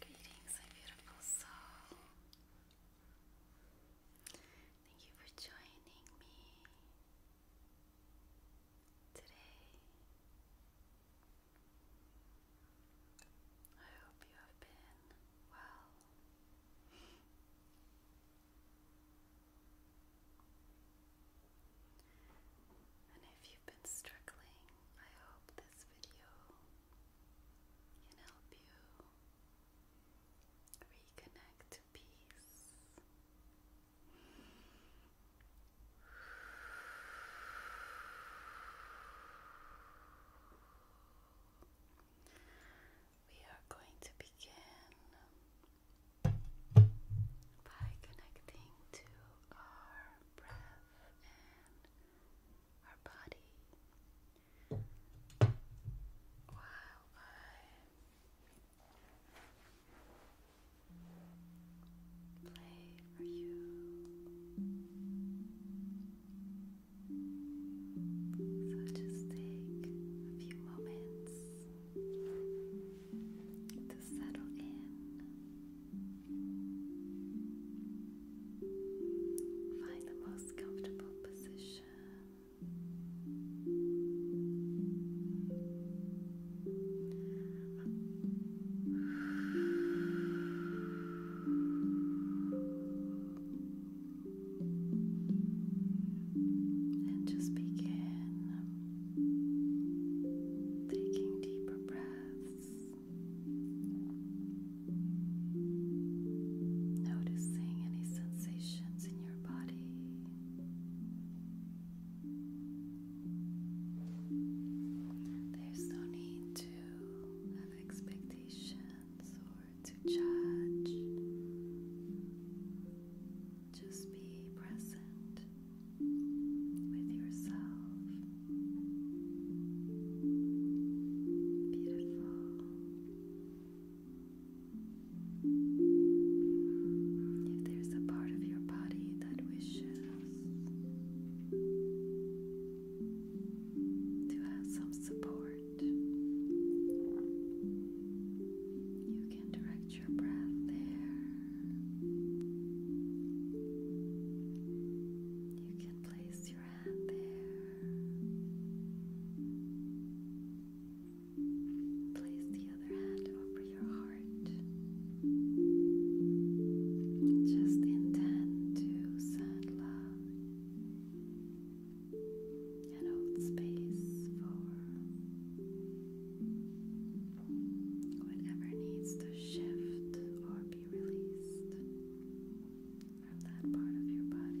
Greetings, my beautiful soul. Thank you for joining me today. I hope you have been well. And if you've been struggling, I hope this video can help you reconnect to peace. We are going to begin by connecting to our breath and our body while I play for you. So just take a few moments to settle in. Find the most comfortable position. And just begin taking deeper breaths. Noticing any sensations in your body. There's no need to have expectations or to judge. Just be present with yourself. Beautiful. If there's a part of your body that wishes to have some support, you can direct your breath there. You can place your hand there. Place the other hand over your heart. Just intend to send love and hold space for whatever needs to shift or be released from that part of your body.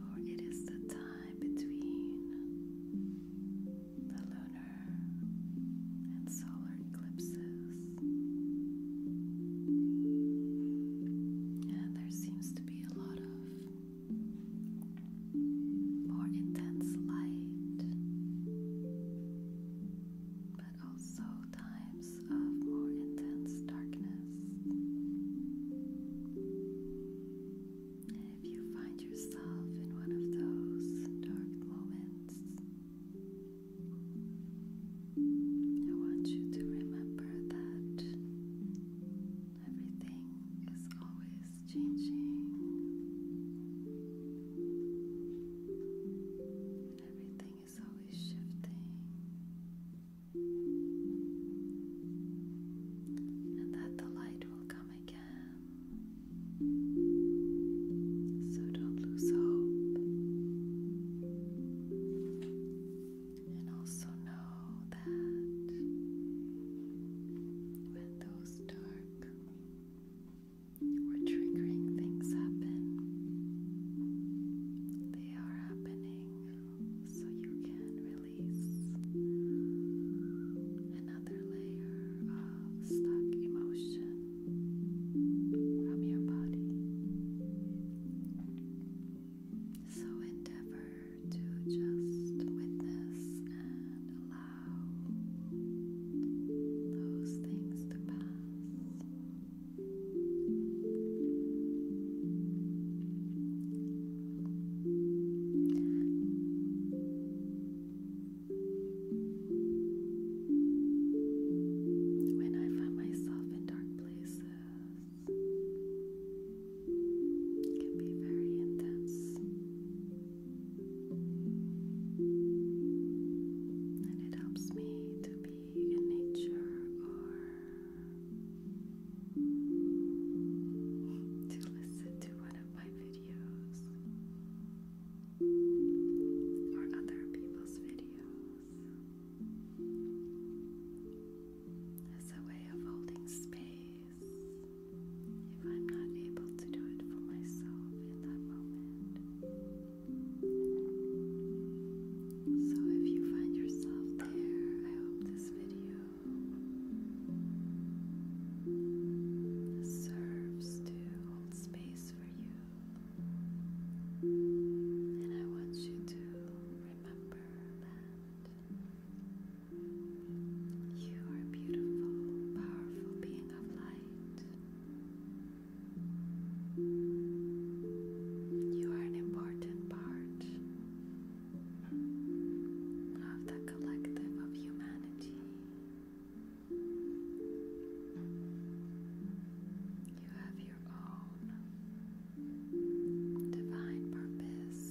for it is the time between the lunar and solar eclipses. And there seems to be a lot of more intense light, but also times of more intense darkness. And if you find yourself in one of those dark moments, I want you to remember that everything is always changing. Everything is always shifting and that the light will come again. So don't lose hope. And also know that when those dark or triggering things happen, they are happening so you can release another layer of stuck emotion from your body. So endeavor to just witness and allow those things to pass. When I find myself in dark places, it can be very intense. And it helps me to be in nature or to listen to one of my videos or other people's videos as a way of holding space if I'm not able to do it for myself in that moment. So if you find yourself there, I hope this video serves to hold space for you. And I want you to remember that you are a beautiful, powerful being of light. You are an important part of the collective of humanity. You have your own divine purpose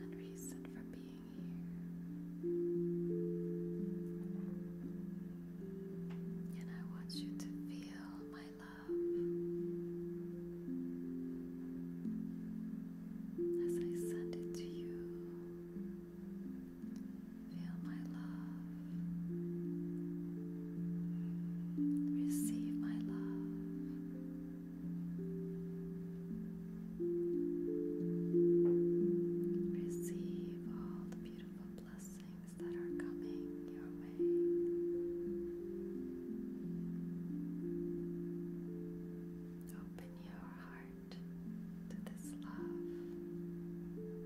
and reason for being here. And I want you to feel my love as I send it to you. Feel my love, receive my love. Receive all the beautiful blessings that are coming your way. Open your heart to this love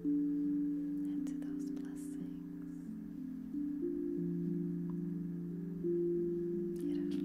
and to those blessings. Get it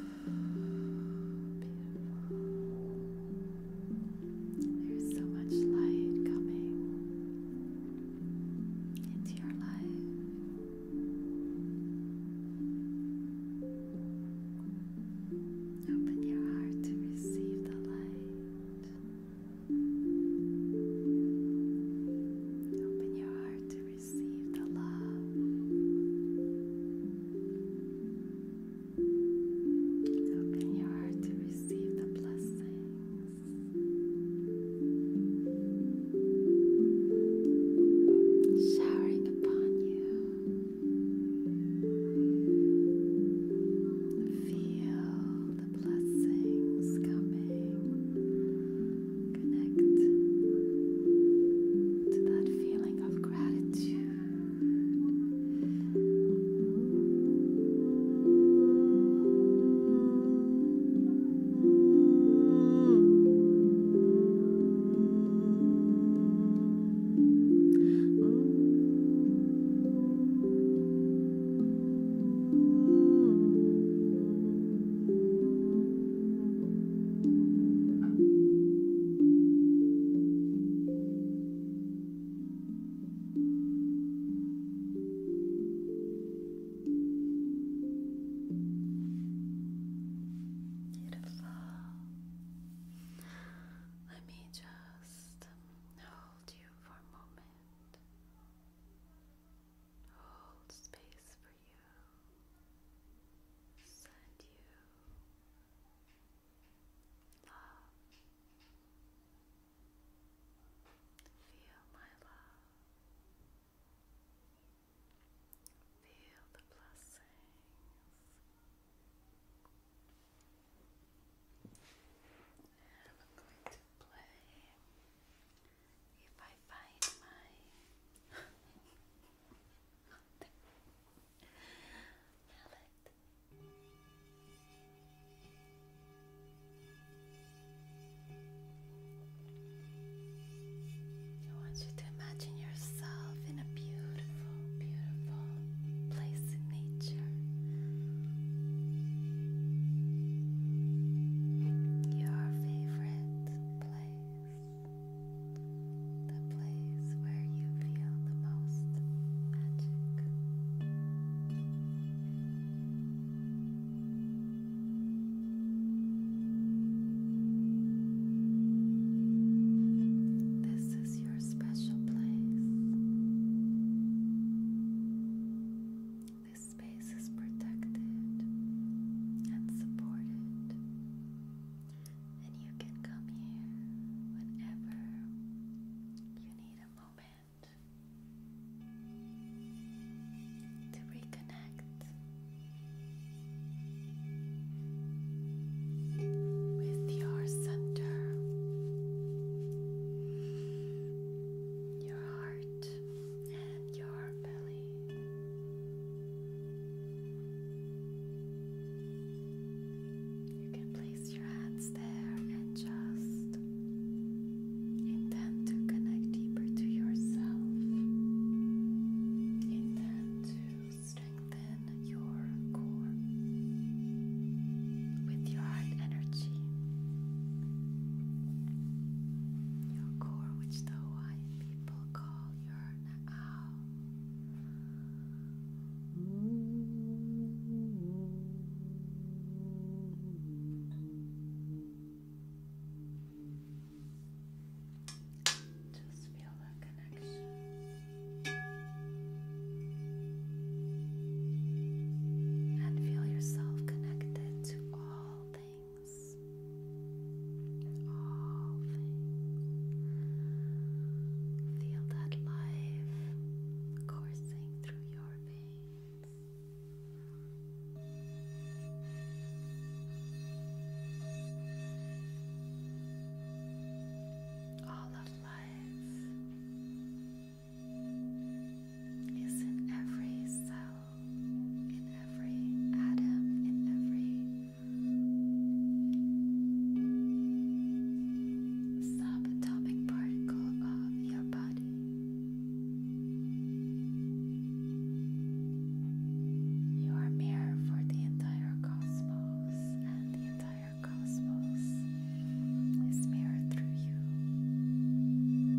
There's so much light coming into your life. Open your heart to receive the light. Open your heart to receive the love. Open your heart to receive the blessings showering upon you. Feel the blessings coming. Connect to that feeling of gratitude. Beautiful. Let me just hold you for a moment. Hold space for you, send you love. Feel my love. Feel the blessings. I'm going to play if I find my mallet. I want you to imagine yourself in a beautiful, beautiful place in nature. Your favorite place the place where you feel the most magic. This is your special place. This space is protected and supported and you can come here whenever you need a moment to reconnect with your center, your heart, and your belly. You can place your hands there and just intend to connect deeper to yourself. Intend to strengthen your core with your heart energy. Your core, which the Hawaiian people call your out. Just feel that connection. And feel yourself connected to all things things. All things. Feel that life coursing through your veins. All of life is in every cell, in every atom, in every subatomic particle of your body. You are mirror for the entire cosmos, and the entire cosmos is mirrored through you.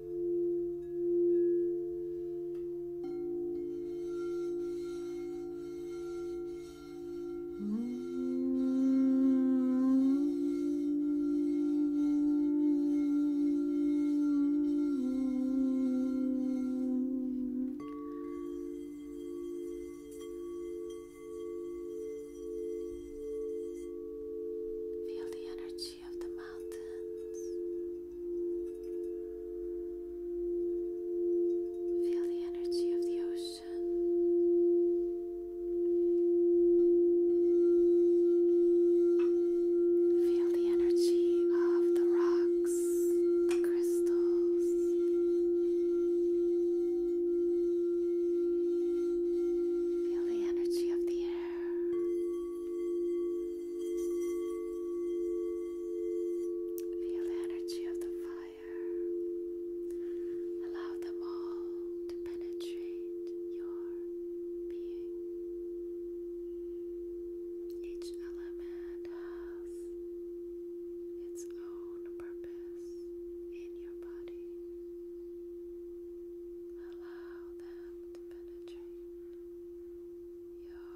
Feel the energy energy of the mountains. Feel the energy of the ocean. Feel the energy of the rocks, the crystals. Feel the energy of the air. Feel the energy of the fire. Allow them all to penetrate your being. Each element has its own purpose in your body. Allow them to penetrate your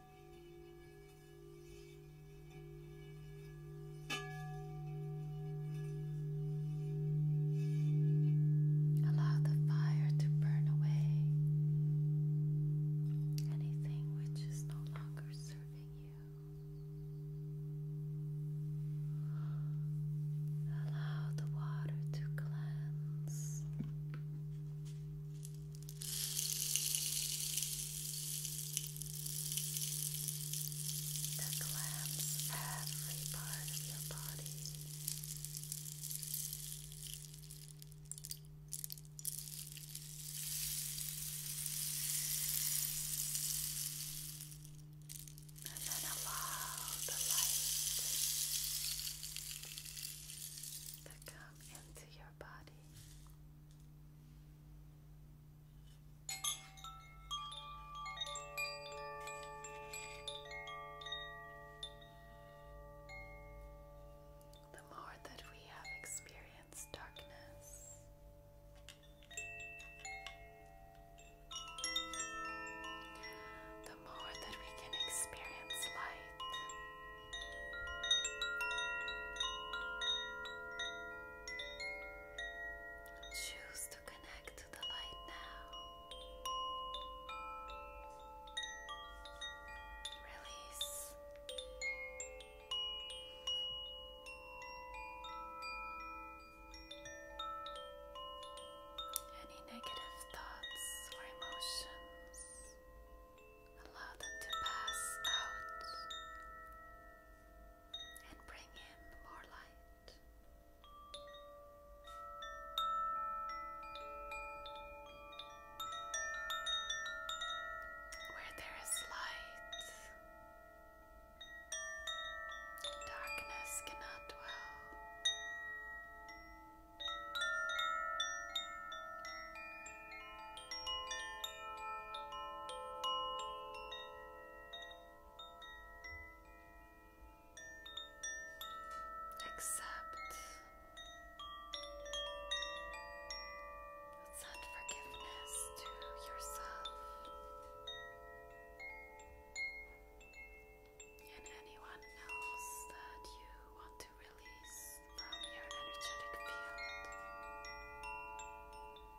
Allow the fire to burn away anything which is no longer serving you. Allow the water to cleanse that clamps every part of your body. And then allow the light to come into your body. The more that we have experienced darkness, the more that we can experience light. Choose to connect to the light now. Release. Any negative thoughts or emotions, allow them to pass out and bring in more light. Where there is light, darkness cannot dwell. Accept. Send forgiveness to yourself and anyone else that you want to release from your energetic field.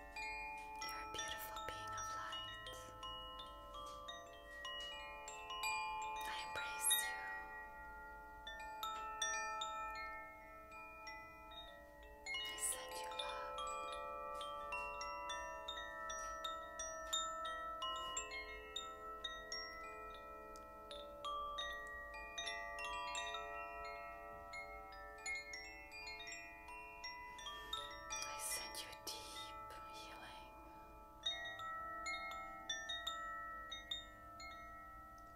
You're a beautiful being of light. I embrace you. I send you love. I send you deep healing.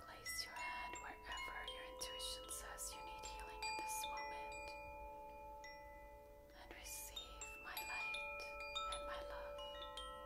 Place your hand wherever your intuition says you need healing in this moment and receive my light and my love. Beautiful.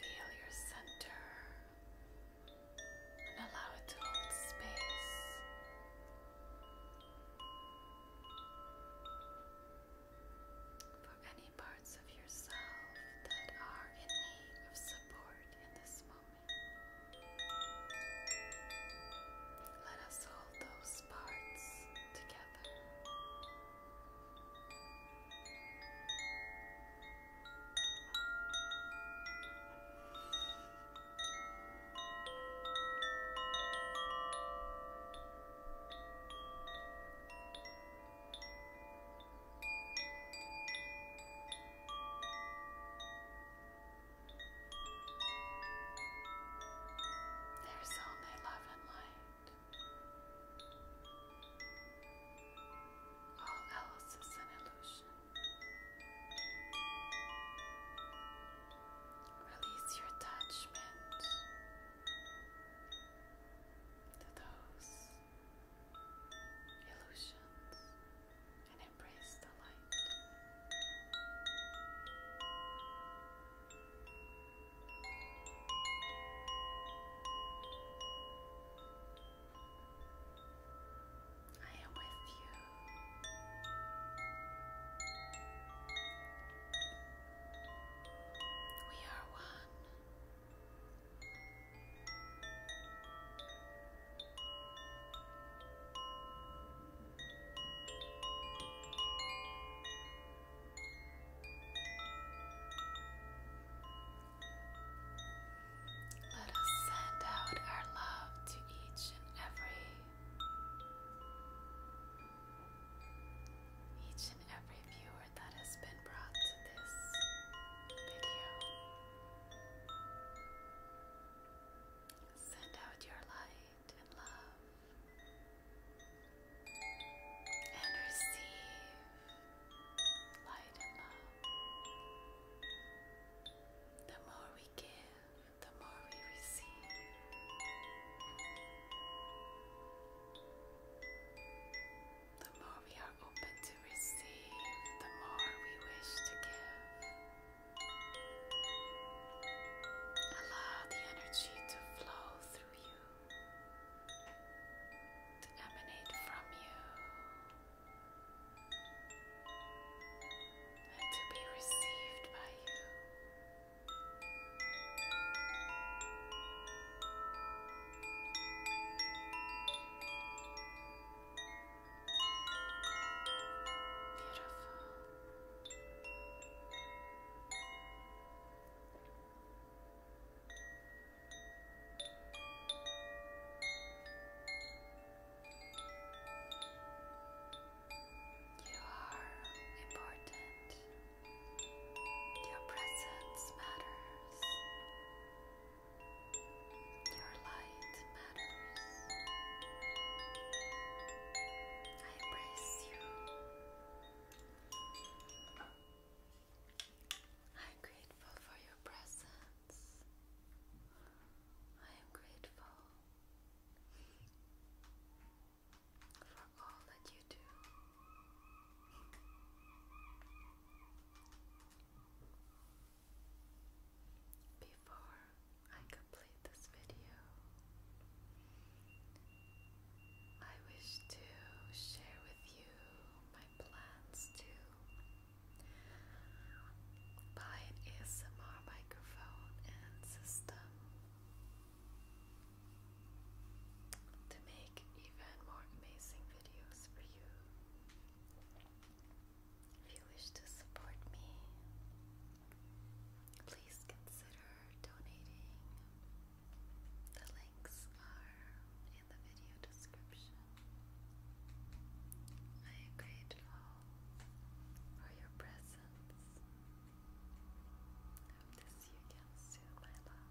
Feel your center and allow it to hold space. For any parts of yourself that are in need of support in this moment. Let us hold those parts together. Let there's only love and light. All else is an illusion. Release your attachment to those illusions, and embrace the light. I am with you. We are one. Let us send out our love to each and every each and every viewer that has been brought to this video. Send out your light and love and receive light and love. The more we give, the more we receive. The more we are open to receive, the more we wish to give. Allow the energy to flow through you, to emanate from you, and to be received by you. You are important. Your presence matters. Your light matters. I praise you. I'm grateful for your presence. I am grateful for all that you do. Before I complete this video, I wish to share with you my plans to buy an ASMR microphone and system to make even more amazing videos for you. If you wish to support me, please consider donating. The links are in the video description. I am grateful for your presence. hope to see you again soon, my love.